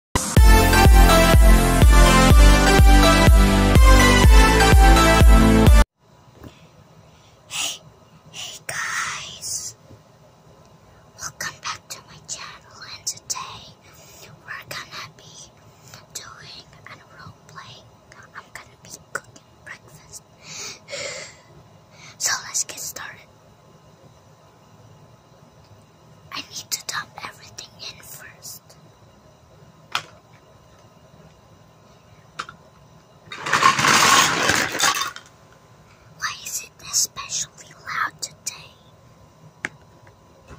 Hey, guys. Welcome back to my channel and today we're gonna be doing a role I'm gonna be cooking breakfast. so let's get started. I need to dump everything in first. Why is it especially loud today?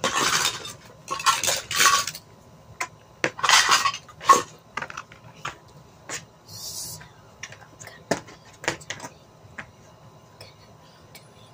So i gonna be doing, going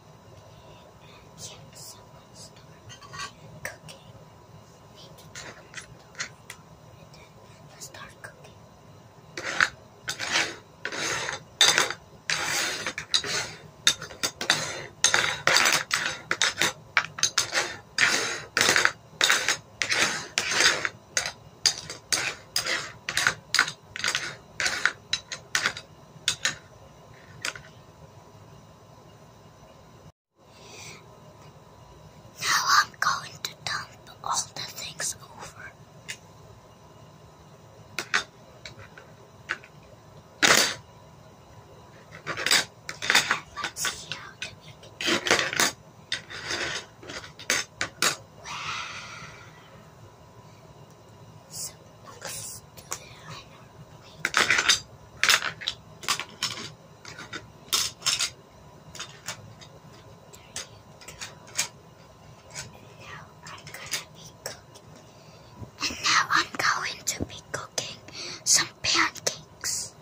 Can someone start cooking? can't stop, start and then start cooking. Now I'm going to dump all the things over. Let's see how to make it. Wow. So let I'm gonna be cooking. And now I'm going to be cooking some pancakes.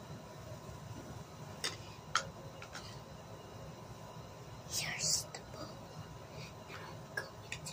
Here's the bowl. Now I'm going to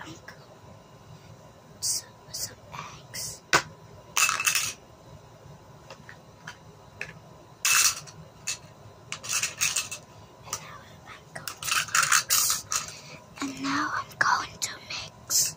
I'm some, some eggs. And now I'm going to mix. And now I'm going to mix.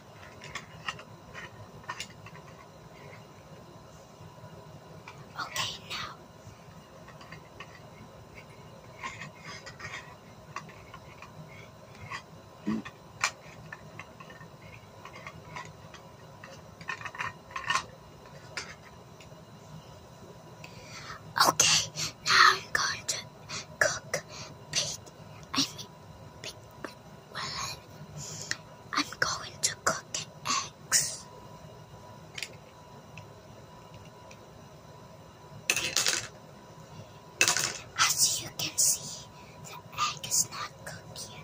Okay, now. Okay, now I'm going to cook, bake. I mean, bake. Well, I'm going to cook eggs. As you can see, the egg is not cooked yet.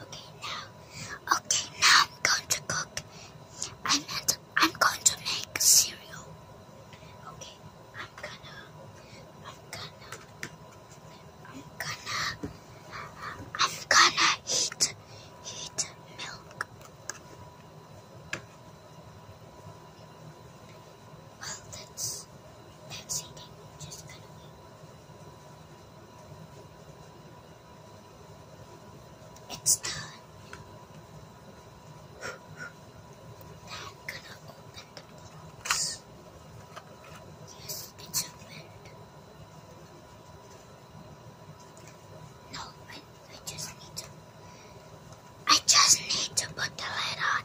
Okay, now, okay, now I'm going to cook. I'm I'm going to make cereal. Okay, I'm gonna, I'm gonna, I'm gonna, I'm gonna heat, heat milk. Well, that's, that's Just gonna it's done. now gonna open the box. Yes, it's opened. No, I, I just need to. I just need to put the lid on.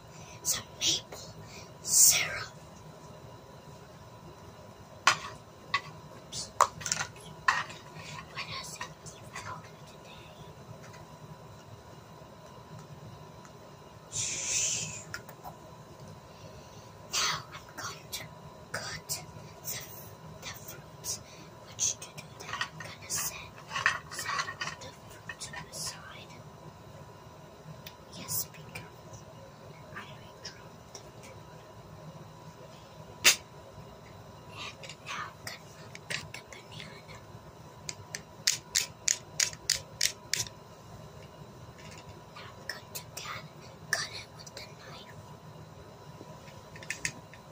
spilled some maple syrup. Oops. What else you today? Now I'm going to cut the, the Which to do that I'm gonna set, set to the side. Yes, be I dropped the food. And now cut, cut the banana. Now cut the Cut it with the knife.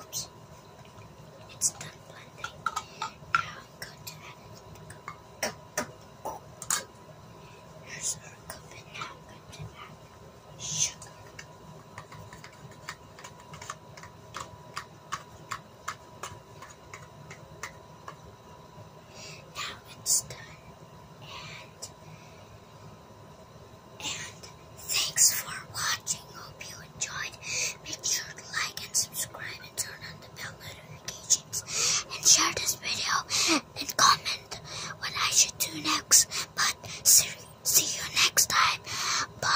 Oops. It's done blending. Now i to add Go, go, go. Here's our cup, and now i to add sugar. Now it's done, and and thanks for watching. Hope you enjoyed. Make sure to like and subscribe and turn on the bell notifications. And share this video and comment what I should do next. But see you next time. Bye.